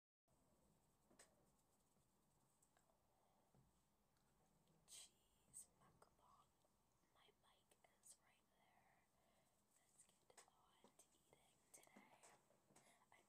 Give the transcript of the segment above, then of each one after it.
Cheese macaron. My mic is right there. Let's get on eating today. I'm sitting on a rocking chair.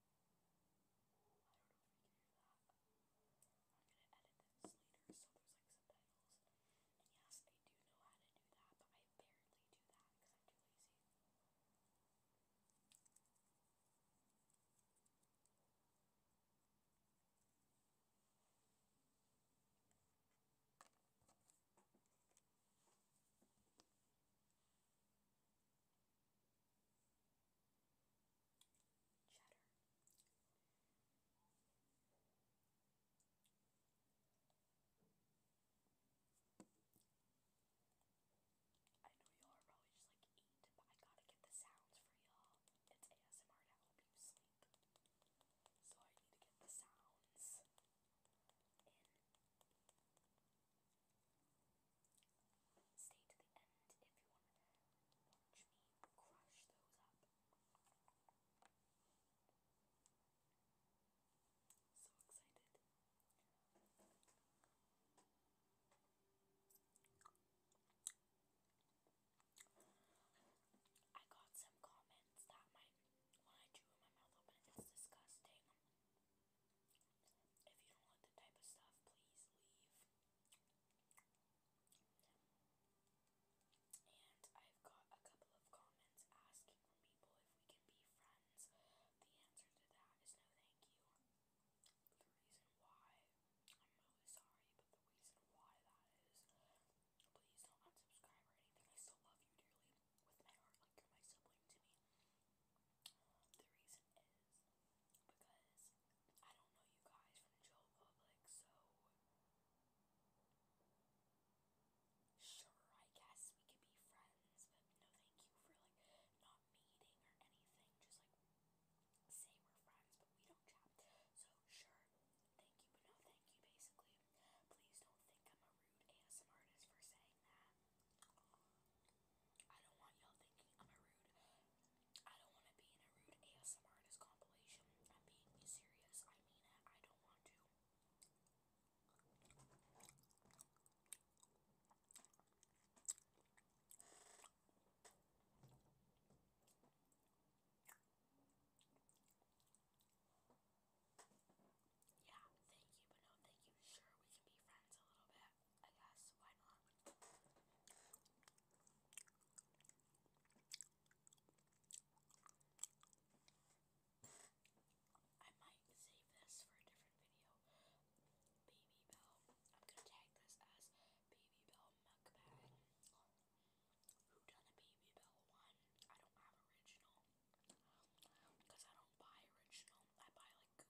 I don't know if you can hear that. I'm gonna edit this later so there's like subtitles. And yes, I do know how to do that, but I barely do that because I'm too lazy cheddar. I know y'all are probably just like eat, but I gotta get the sounds for y'all. It's ASMR to help you sleep. So I need to get the sounds in. Stay to the end if you want to watch me crush those up. So excited. I got some comments that my when I chew my mouth open it's disgusting. If you don't like the type of stuff, please leave. And I've got a couple of comments asking from people if we can be friends. The answer to that is no thank you. The reason why, I'm really sorry, but the reason why that is, please don't unsubscribe or anything. I still love you dearly with my you're my sibling to me the reason is because I don't know you guys from Joe Public, so sure, I guess we could be friends, but no thank you for like not meeting or anything. Just like say we're friends, but we don't chat. So sure, thank you, but no thank you basically. Please don't think I'm a rude ASM for saying that. I don't want y'all thinking I'm a rude. I don't want to be in a rude ASMR in compilation. I'm being serious. I mean it. I don't want to. Yeah, thank you, but no, thank you. Sure, we can be friends a little bit. I guess, why not? I might save this for a different video. Baby Bell. I'm gonna tag this as Baby Bell Mukbang. Who done a Baby Bell one? I don't have original. Because I don't buy original. I buy like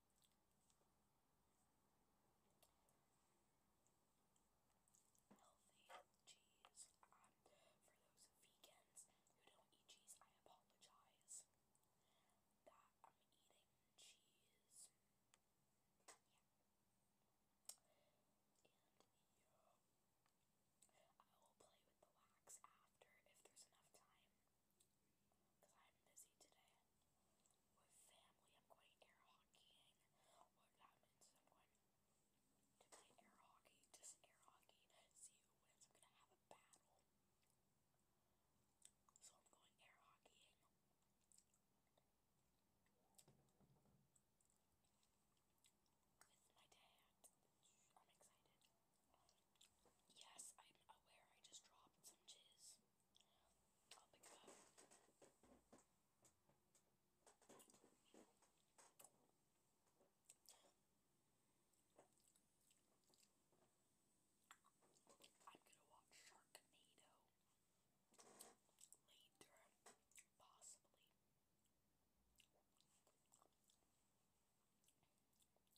Healthy cheese. Um, for those vegans who don't eat cheese, I apologize that I'm eating cheese. Yeah. And yeah, I will play with the wax after if there's enough time. Because I'm busy today with family. I'm going air hockeying or that I'm going to play air hockey, just air hockey, see who wins. I'm going to have a battle. So I'm going air hockeying. With my dad. I'm excited. Yes, I'm aware I just dropped some jizz. I'll pick it up. I'm gonna watch Sharknado later, possibly.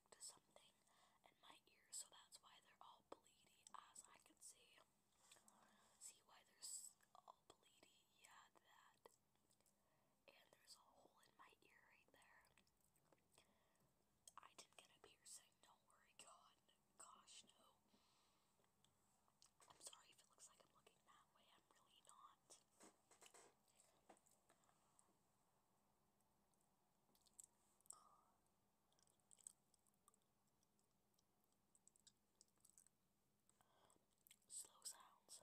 allergic to something in my ear, so that's why they're all bleedy, as I can see. See why they're all bleedy? Yeah, that. And there's a hole in my ear right there. I didn't get a piercing, don't worry, God, gosh, no. I'm sorry if it looks like I'm looking that way, I'm really not. Slow sounds.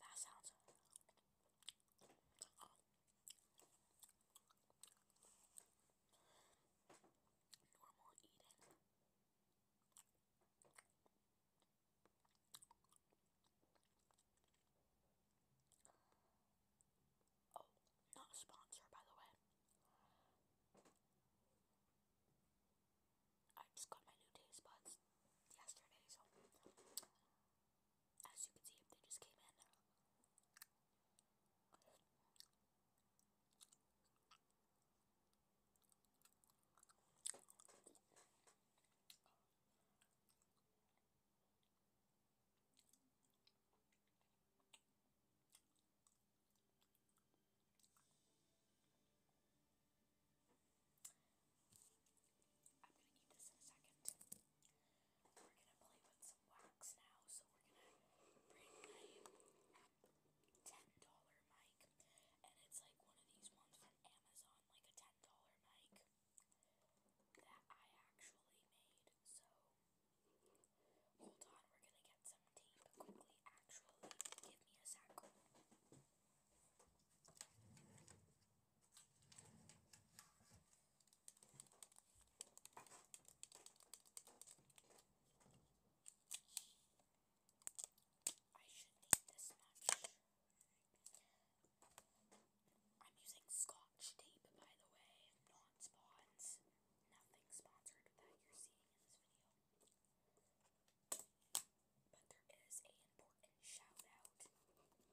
That sounds. Normal eating. Oh, not a sponsor, by the way. I just got my new taste buds yesterday, so as you can see, they just came in. I'm going to eat this in a second. We're going to play with some wax now, so we're going to bring ten dollar mic, and it's like one of these ones from Amazon, like a ten dollar mic that I actually made. So hold on, we're gonna get some tape quickly. Actually, give me a sec. I should need this much. I'm using scotch tape, by the way, not spawns. Nothing sponsored that you're seeing in this video. But there is a important shout that's gonna be shouted out.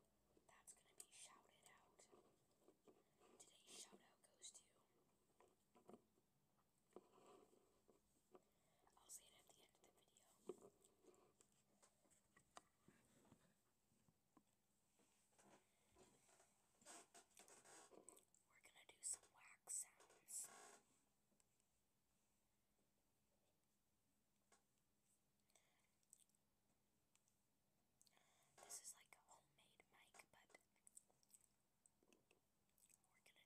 Today's shout goes to I'll say it at the end of the video. We're gonna do some wax sounds. This is like a homemade mic, but we're gonna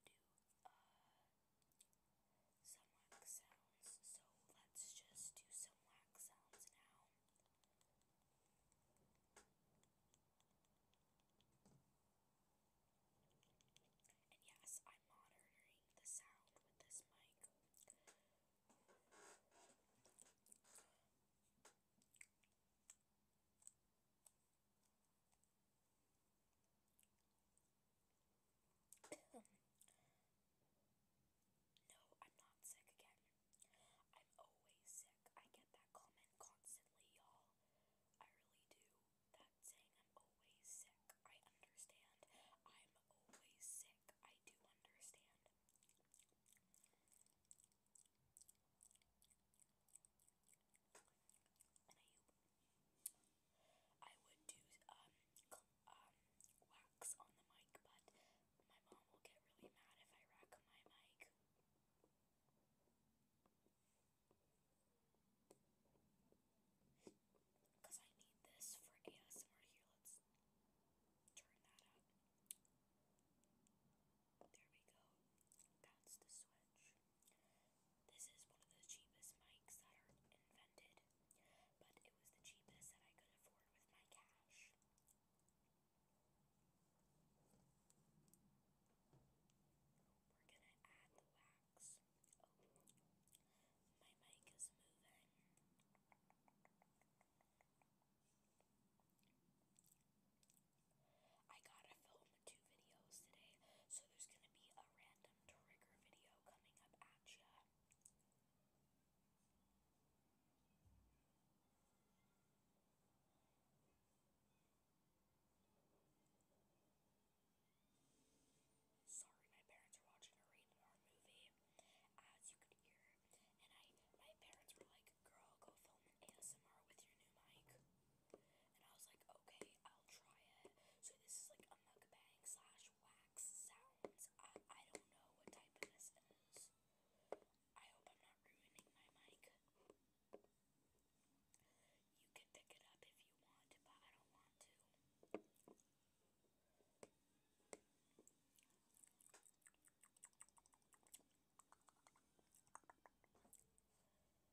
do uh, some wax sounds, so let's just do some wax sounds now. And yes, I'm monitoring the sound with this mic no, I'm not sick again. I'm always sick. I get that comment constantly, y'all. I really do. That saying, I'm always sick. I understand. I'm always sick. I do understand and I would do um, um, wax on the mic, but my mom will get really mad if I rack my mic. Because I need this for ASMR here. Let's turn that up. There we go. That's the switch. This is one of the cheapest mics that are invented, but it was the cheapest that I could afford with my cash. We're gonna add the wax. Oh, my mic is moving. I gotta film two videos today, so there's gonna be a random trigger video coming up at ya. Sorry, my parents were watching a rated R movie, as you could hear, and I my parents were like, "Girl, go film ASMR with your new mic." And I was like, okay, I'll try it. So this is like a mukbang slash wax sounds. I, don't know what type this is. I hope I'm not ruining my mic. You can pick it up if you want, but I don't want to.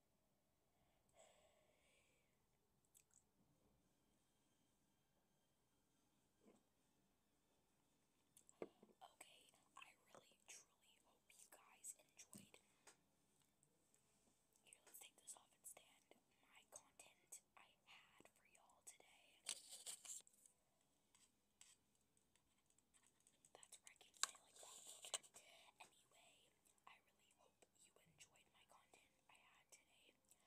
Okay, I really truly hope you guys enjoyed. Here, let's take this off and stand. My content I had for y'all today. That's where I can say like that. Anyway, I really hope you enjoyed my content I had today for you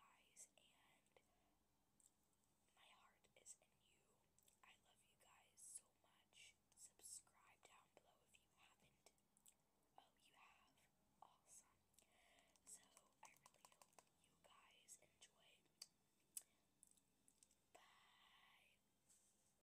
guys, and my heart is in you. I love you guys so much. Subscribe down below if you haven't. Oh, you have. Awesome. So, I really hope you guys enjoyed. Bye.